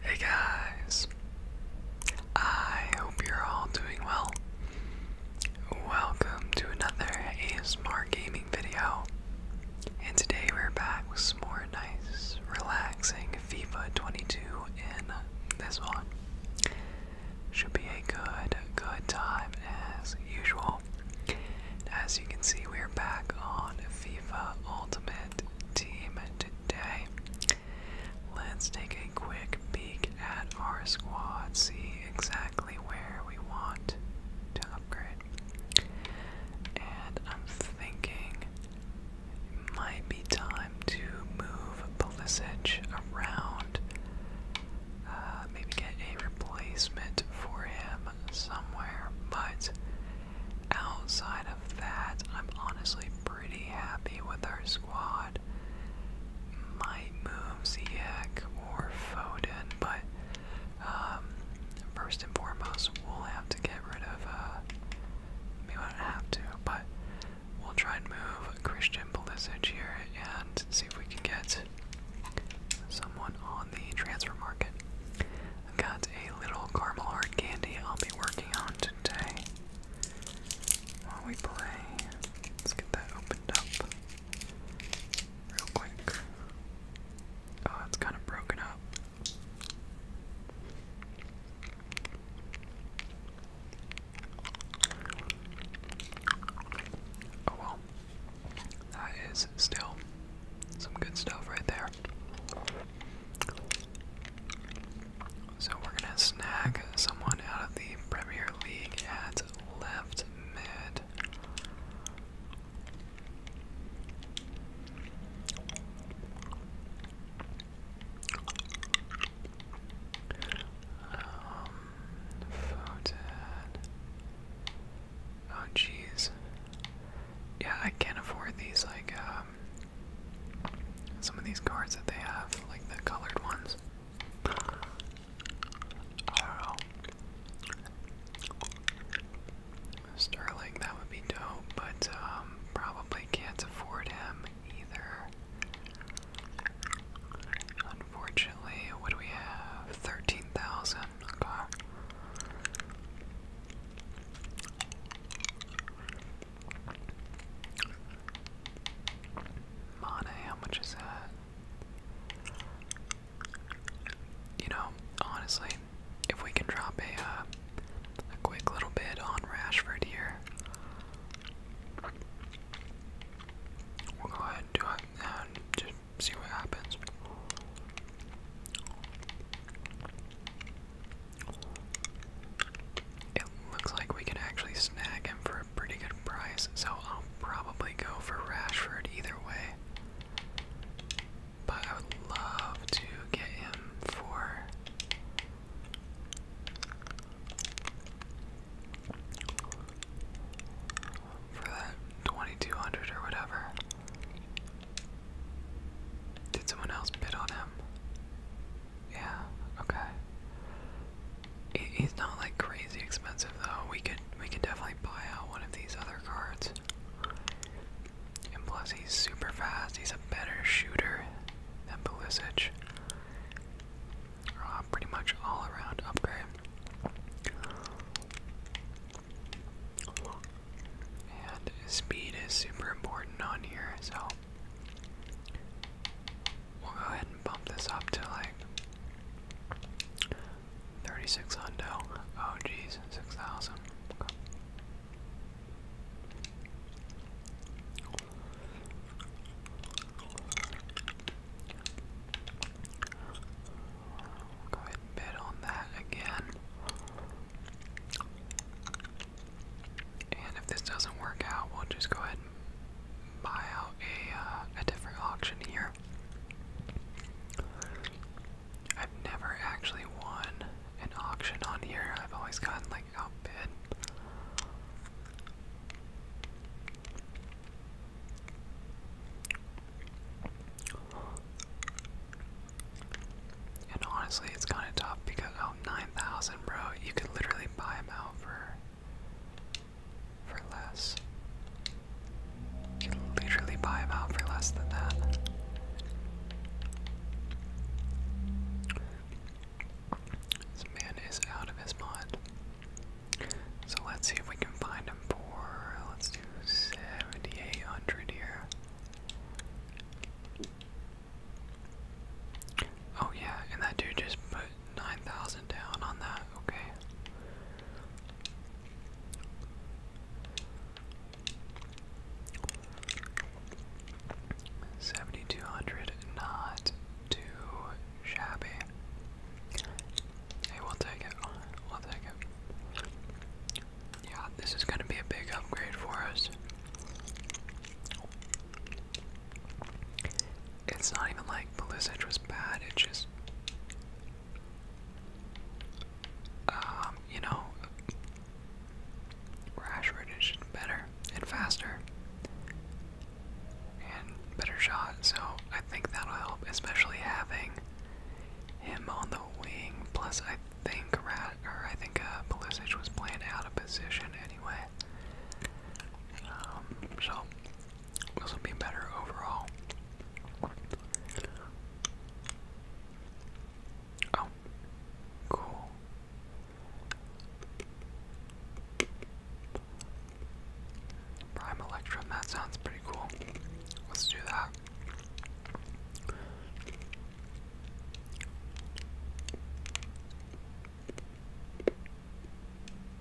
Hey guys, I hope you're all doing well. Welcome to another ASMR gaming video, and today we're back with some more nice, relaxing FIFA 22 in this one. Should be a good, good time as usual. As you can see, we're back on FIFA Ultimate Team. Today today. Let's take a quick peek at our squad, see exactly where we want to upgrade. And I'm thinking it might be time to move Pulisic around, uh, maybe get a replacement for him somewhere, but outside of that, I'm honestly pretty happy with our squad. Might move Ziyech or Foden, but um, first and foremost, we'll have to get rid of. Uh, we won't have to, but we'll try and move Christian Pulisic here and see if we can get someone on the transfer market. Got a little caramel hard candy I'll be working on today. While we play, let's get that opened up real quick. Oh, it's kind of broken up. Oh well, that is still some good stuff right there. So we're gonna snag someone out of the Premier League at left mid. Um, oh, jeez. Yeah, I can't afford these like uh, um, some of these cards that they have, like the colored ones. I that would be dope, but um, probably can't afford him either. Unfortunately, what do we have? 13,000. Okay. Mana, how much is that? You know, honestly, if we can drop a uh, a quick little bit on Rashford here, we'll go ahead and just see what happens. It looks like we can actually snag him for a pretty good price, so I'll probably go for Rashford either way. But I would love to get him for. For that 2200 or whatever. Did someone else bid on him? Yeah, okay. He's not like crazy expensive though. We could we could definitely buy out one of these other cards. And plus he's super fast. He's a better shooter than Pulisic. Uh, pretty much all around upgrade. And speed is super important on here, so We'll go ahead and bump this up to like 36 hundo. Oh jeez, 6,000. Go ahead and bid on that again. And if this doesn't work out, we'll just go ahead and buy out a, uh, a different auction here. I've never actually won an auction on here. I've always gotten like outbid. And honestly, it's kind of tough because 9,000, bro. You could literally buy them out for for less. You can literally buy them out for less than that. This man is out of his mind. So let's see if we can find him for let's do 7,800 here. Oh yeah, and that dude just put 9,000 down on that, okay. Seventy two hundred, not too shabby. Hey, we'll take it. We'll take it. Yeah, this is gonna be a big upgrade for us. It's not even like Pulisic was bad, It just. Um, you know, Rashford is just better and faster and better shot, so I think that'll help, especially having him on the wing. Plus, I think Rat or I think uh, Pulisic was playing out of position anyway. Um, so this will be better overall. Oh, cool. Prime Electrum, that sounds pretty cool. Let's do that.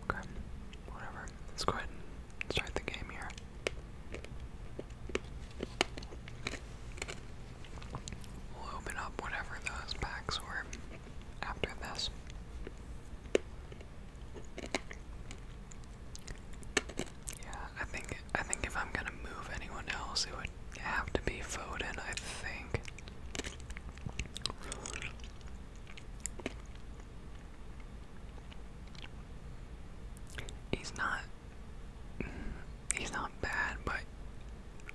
Okay, whatever. Let's go ahead and start the game here. We'll open up whatever those packs were after this. Yeah, I think I think if I'm gonna move anyone else, it would have to be Foden, I think. He's not he's not bad, but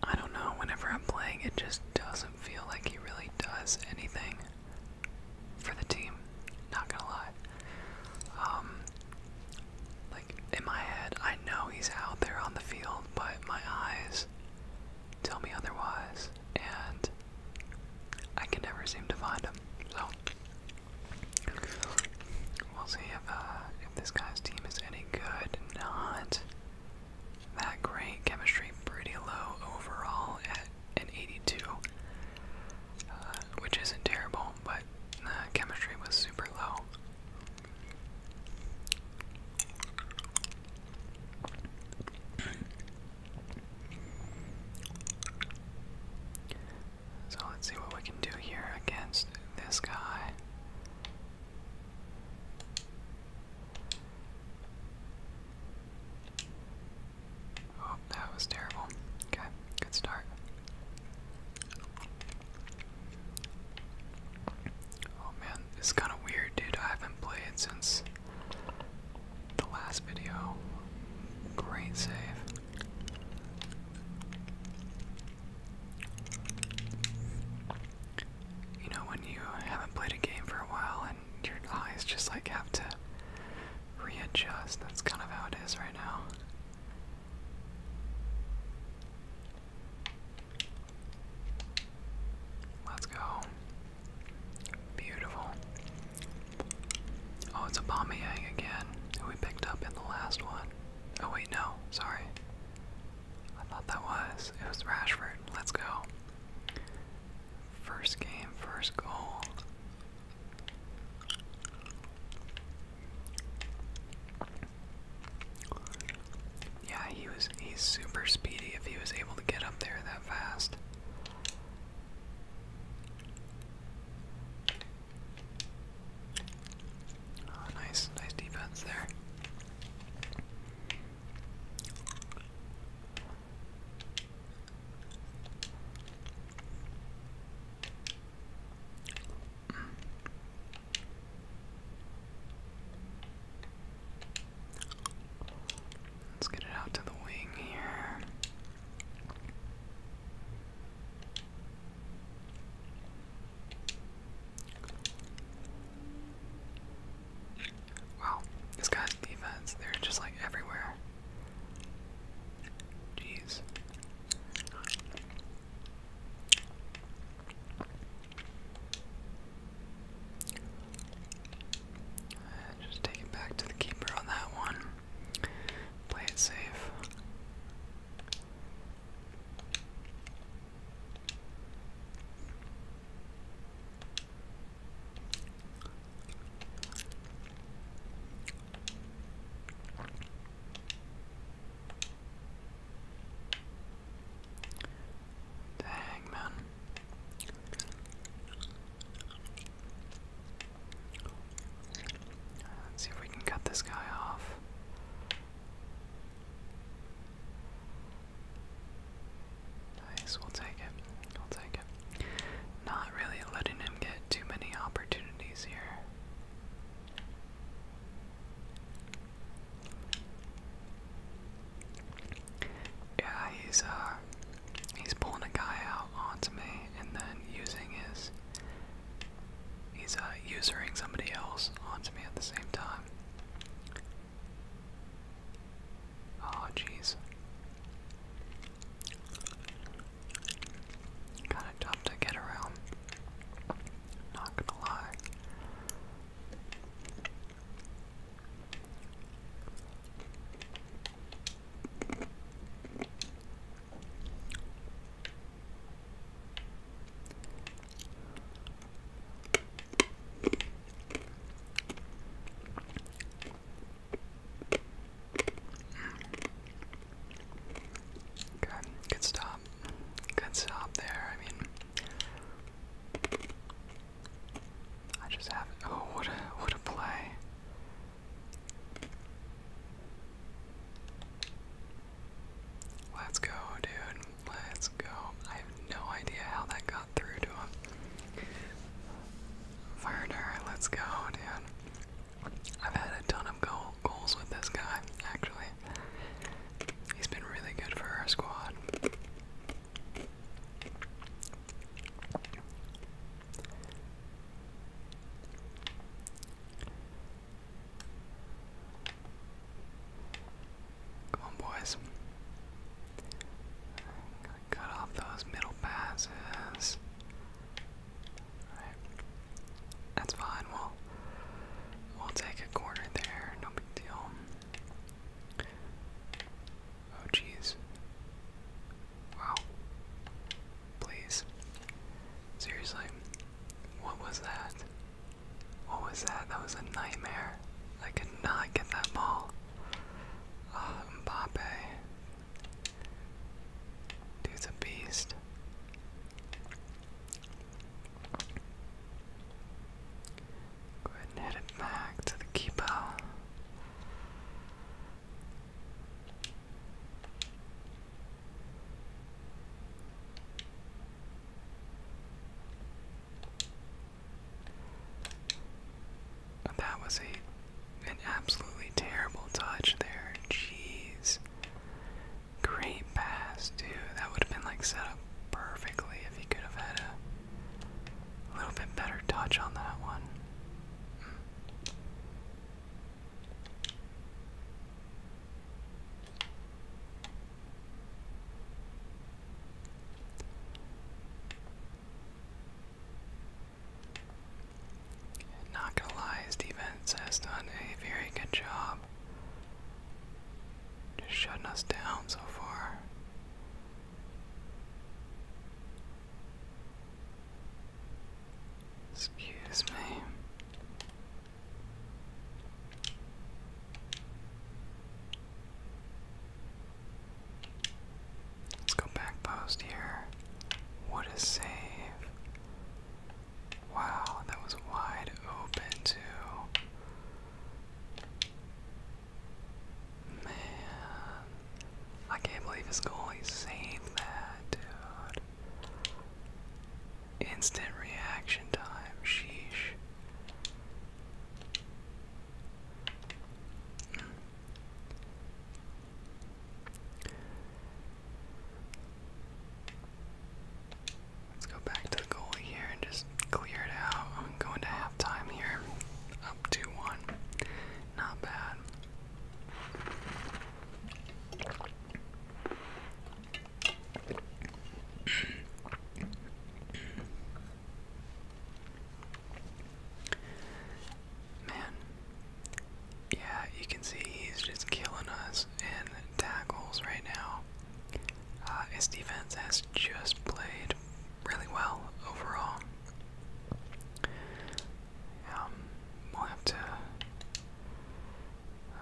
I don't know, whenever I'm playing it just doesn't feel like he really does anything for the team. Not gonna lie. Um in my head, I know he's out there on the field, but my eyes tell me otherwise, and I can never seem to find him. So, we'll see if, uh, if this guy's team is any good. Not that great. Chemistry pretty low overall at an 82, uh, which isn't terrible, but uh, chemistry was super low. So let's see what we can do here against this guy. Oh, that was terrible. Okay, good start. Oh man, it's kind of weird, dude. I haven't played since the last video. Great save. You know, when you haven't played a game for a while and your eyes just like have to readjust, that's kind of how it is right now. Let's go. Beautiful. Oh, it's a again, who we picked up in the last one. Oh wait, no, sorry. I thought that was. It was Rashford. Let's go. First game, first goal. Yeah, he was he's super speedy if he was able to get up there that fast. Ah, nice, nice defense there. Let's get it out to the wing here. Wow, this guy's defense, they're just like everywhere. Jeez. Just take it back to the keeper on that one. Play it safe. Dang, man. Let's see if we can cut this guy off. Nice, we'll take it. We'll take it. Not really letting him get too many opportunities here. Yeah, he's uh he's pulling a guy out onto me and then using his he's uh usering somebody else onto me at the same time. Oh jeez. Kinda tough to get around. Not gonna lie. Good, good stop. Good stop there. I mean, I just have oh what a what a play. Let's go, dude. Let's go. I have no idea how that got through to him. Fire let's go, dude. I've had a ton of goals with this guy, actually. He's been really good for our squad. Come on, boys. cut off those middle passes. That's fine. We'll, we'll take a corner there. No big deal. Oh, jeez. Wow. Please. Seriously. What was that? What was that? That was a nightmare. I could not get that ball. Ah, Mbappe. Dude's a beast. Go ahead and hit it back to the keeper. That was a an absolutely terrible touch there. Jeez. Great pass, dude. That would have been like set up perfectly if he could have had a little bit better touch on that one. Not going has done a very good job job. Just shutting us down so far. Excuse me. Let's go back post here. What a save. Wow, that was wide open, too. Man, I can't believe going to save that, dude. Instant reaction time, sheesh. Let's go back to the goal here and just clear it out. I'm going to halftime here. Up 2 1. Not bad. Man, yeah, you can see he's just killing us in tackles right now. Uh, his defense has just played really well overall. Um, we'll have to,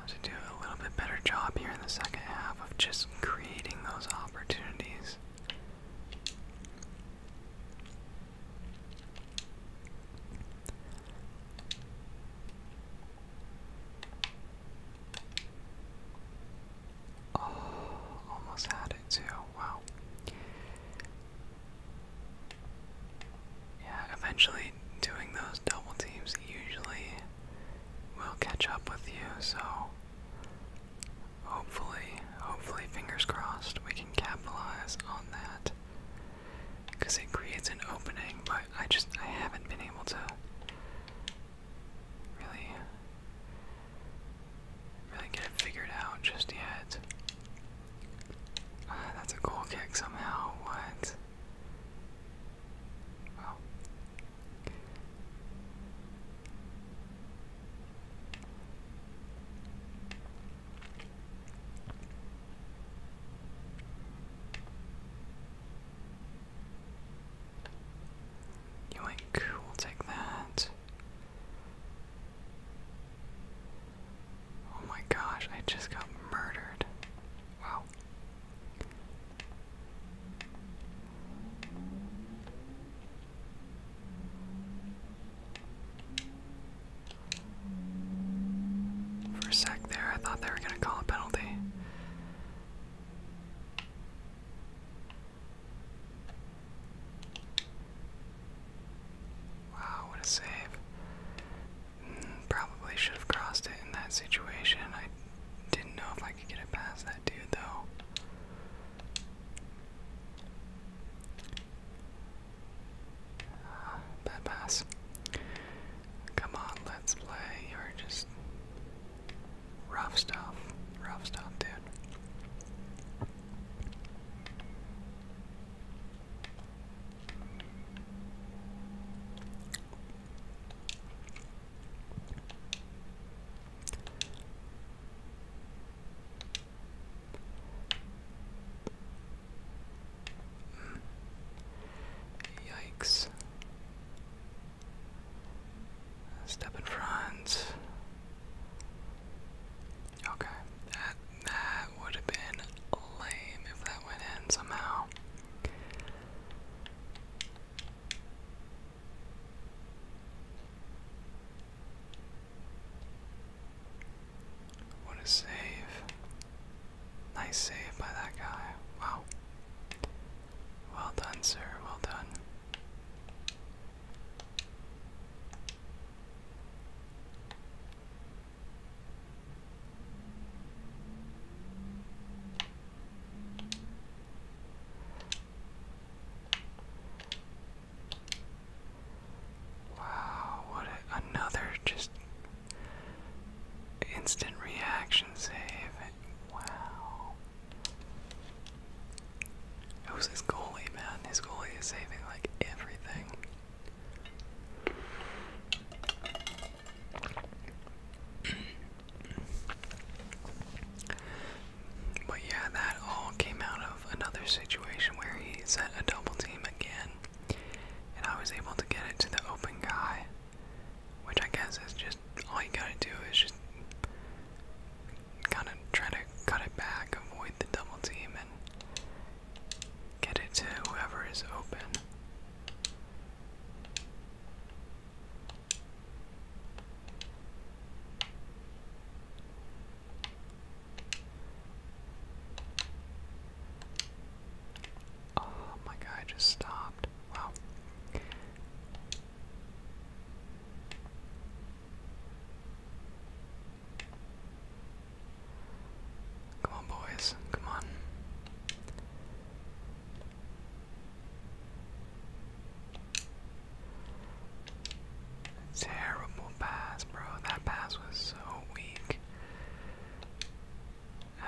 to do a little bit better job here in the second half of just creating those opportunities. Oh, almost had it too. Wow. Yeah, eventually doing those double teams usually will catch up with you, so hopefully, hopefully, fingers crossed, we can capitalize on that. Because it creates an opening, but I just I haven't been able to really, really get it figured out just yet. Uh, that's a goal kick somehow. What? Well. Yoink, we'll take that. Oh my gosh, I just got murdered. Wow. For a sec there, I thought they were going to call a penalty. Wow, what a save. Mm, probably should have crossed it in that situation. I didn't know if I could get it past that dude, though. Uh, bad pass. Come on, let's play. You're just Rough stuff. Rough stuff, dude. Hmm. Yikes. Step in front. Okay, that that would have been lame if that went in somehow. What a save. Nice save by that guy. Wow. Well done, sir. Well done. Wow, what another just instant reaction save. Wow. Who's his goalie, man? His goalie is saving like everything. but yeah, that all came out of another situation where he set a double team again, and I was able to get it to the open guy, which I guess is just all you gotta do is just kind of try to cut it back, avoid the double team, and get it to whoever is open. Oh, my guy just stopped. Wow. Come on, boys. Come on. Terrible pass, bro. That pass was so weak.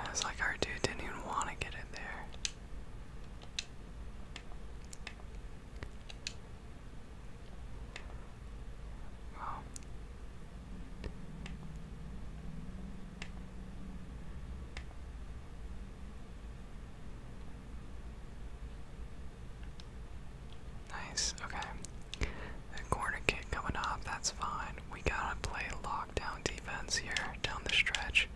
It's like our dude didn't even want to get in there. Wow. Nice, okay. The corner kick coming up, that's fine. We gotta play lockdown defense here down the stretch.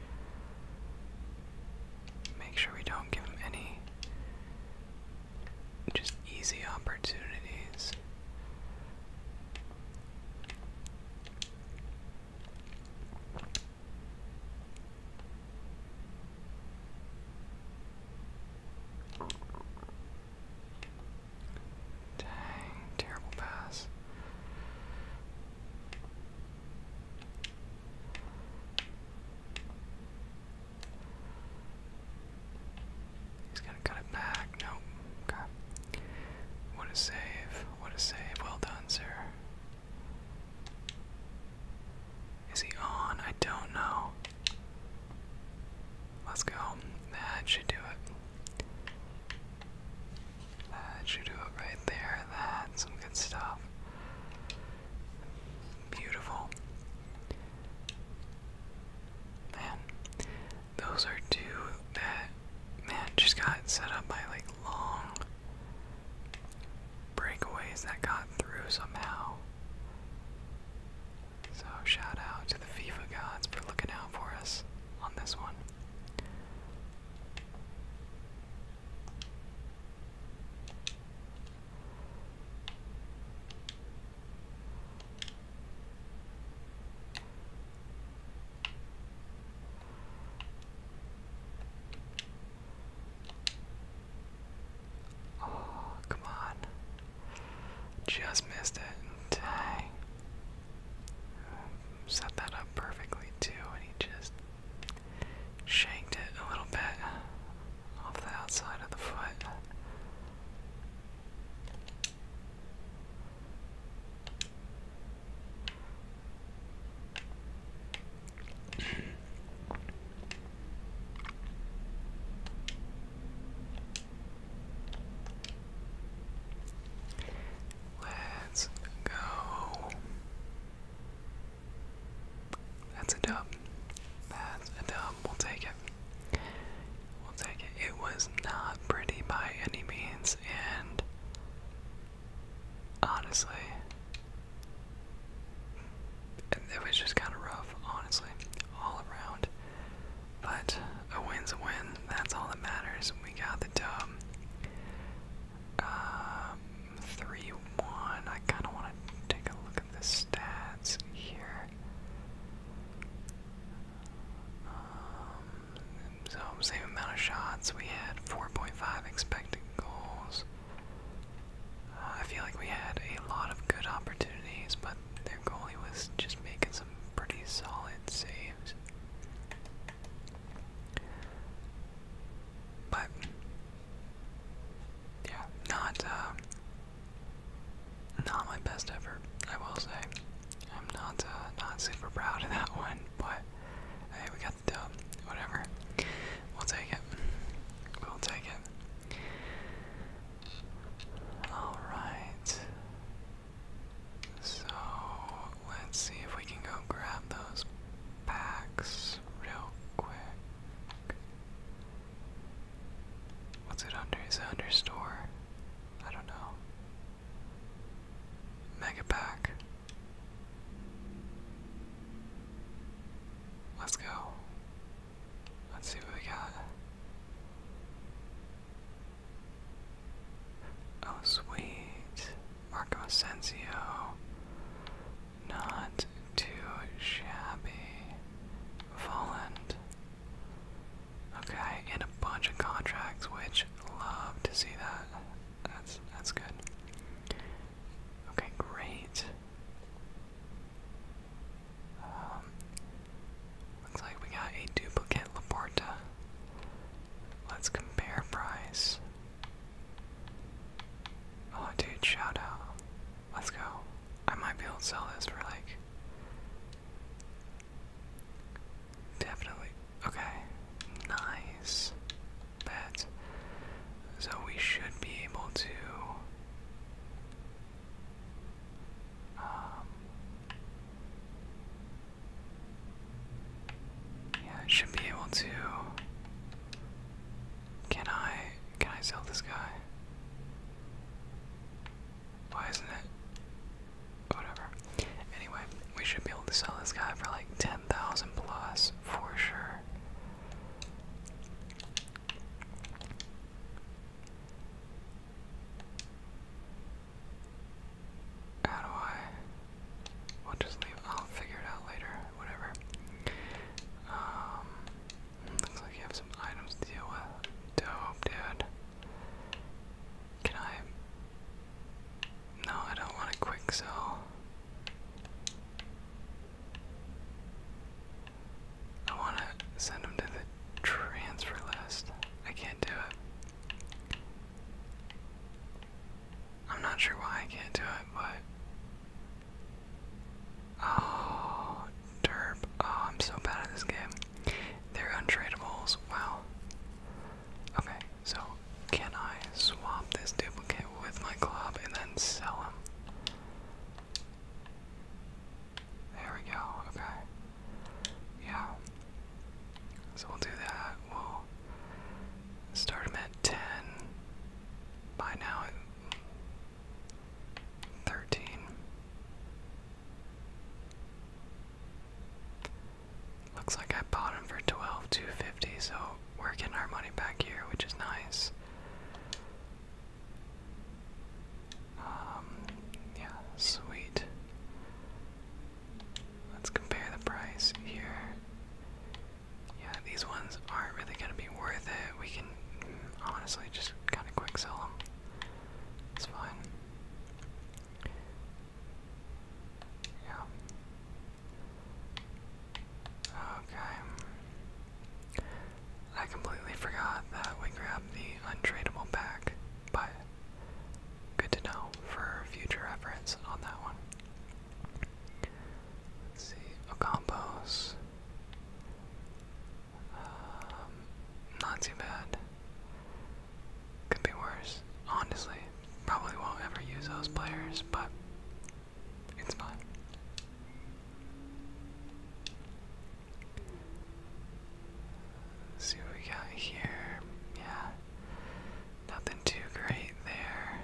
Make sure we don't give him any just easy opportunities. Dang, terrible pass. He's gonna cut it back. Nope. Okay. What a save. What a save. Well done, sir. Is he on? I don't know. Let's go. That should do it. That should do it right there. That's some good stuff. Beautiful. Man, those are two that man just got set up by like long breakaways that got through somehow. So shout out to the FIFA gods for looking out for us on this one. Oh, come on. Just missed it. Dang. Set that up perfectly too, and he just shanked it a little bit off the outside of the foot. Let's go. That's a dub. That's a dub. We'll take it. We'll take it. It was not pretty by any means, and honestly, it was just kind of rough, honestly, all around. But a win's a win. That's all that matters. We got the dub. Um, 3 1. I kind of want to take a look at the stats here. Um, so, same amount of shots. We had 4.5 expected goals. Uh, I feel like we had a lot of good opportunities, but their goalie was just making some pretty solid saves. But yeah, not uh, not my best effort, I will say. I'm not uh, not super proud of that one, but hey, we got the Whatever, we'll take it. We'll take it. All right. So let's see if we can go grab those packs real quick. What's it under? Is it under store? I don't know. Mega pack. Let's go. Let's see what we got. Oh, sweet. Marco Asensio. Not too shabby. Volant. Okay, and a bunch of contracts, which love to see that. That's that's good. Okay, great. Um, looks like we got a duplicate Laporta. Let's compare price. Oh, dude, shout out. Let's go. I might be able to sell this for like. Definitely. Okay. Nice. Bet. So we should be able to. Um, yeah, should be able to can I can I sell this guy? Why isn't it? Whatever. Anyway, we should be able to sell this guy for like 10,000 plus for sure. How do I? We'll just leave. I'll figure it out later whatever. Um, looks like you have some items to deal with. Dope, dude. Can I? No, I don't want to quick sell. I want to send him to the transfer list. I can't do it. I'm not sure why I can't do it, but. Oh, derp. Oh, I'm so bad at this game. They're untradeables. Wow. Okay, so can I swap this duplicate with my club and then sell him? There we go. Okay. Yeah. So we'll do that. We'll start him at 10 by now thirteen. Looks like I bought him for twelve two fifty, so we're getting our money back here, which is nice. Um, yeah, sweet. Let's compare the price here. Yeah, these ones aren't really gonna be worth it. We can honestly just kind of quick sell them. It's fine. Yeah. Okay. I completely forgot that we grabbed the untradeable back, but good to know for future reference on that one see, Ocampos. Oh, um, not too bad. Could be worse, honestly. Probably won't ever use those players, but it's fine. see what we got here. Yeah, nothing too great there.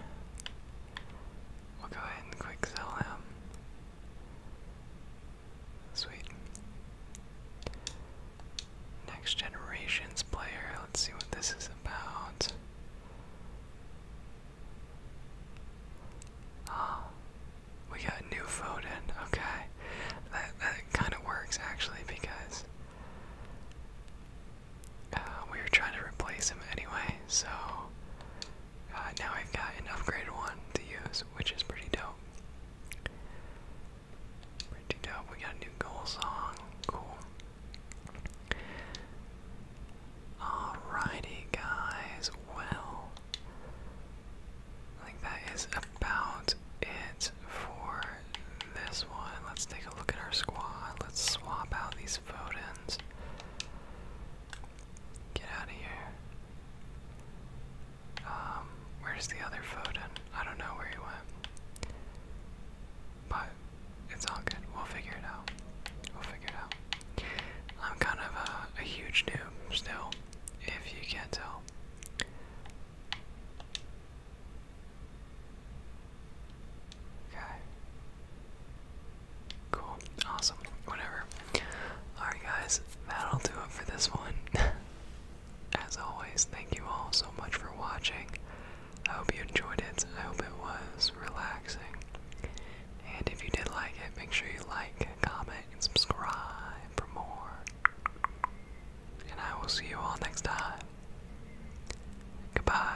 We'll go ahead and quick sell him. Sweet. Next generations player. Let's see what this is about. Ah, we got new Foden. Okay, that that kind of works actually because uh, we were trying to replace him anyway, so uh, now I've got an upgraded one to use, which is pretty dope. Pretty dope. We got a new goal song. Cool. Alrighty, guys. Well, I think that is about it for this one. Let's take a look at our squad. Let's swap out these Fodens. Get out of here. Um, where's the other Foden? I don't know where he went. But it's all good. We'll figure it out. We'll figure it out. I'm kind of a, a huge noob still, if you can't tell. Okay. Cool. Awesome. Whatever. Alright, guys, that'll do it for this one. As always, thank you all so much for watching. I hope you enjoyed it. I hope it was relaxing. And if you did like it, make sure you like, comment, and subscribe for more. And I will see you all next time. Goodbye.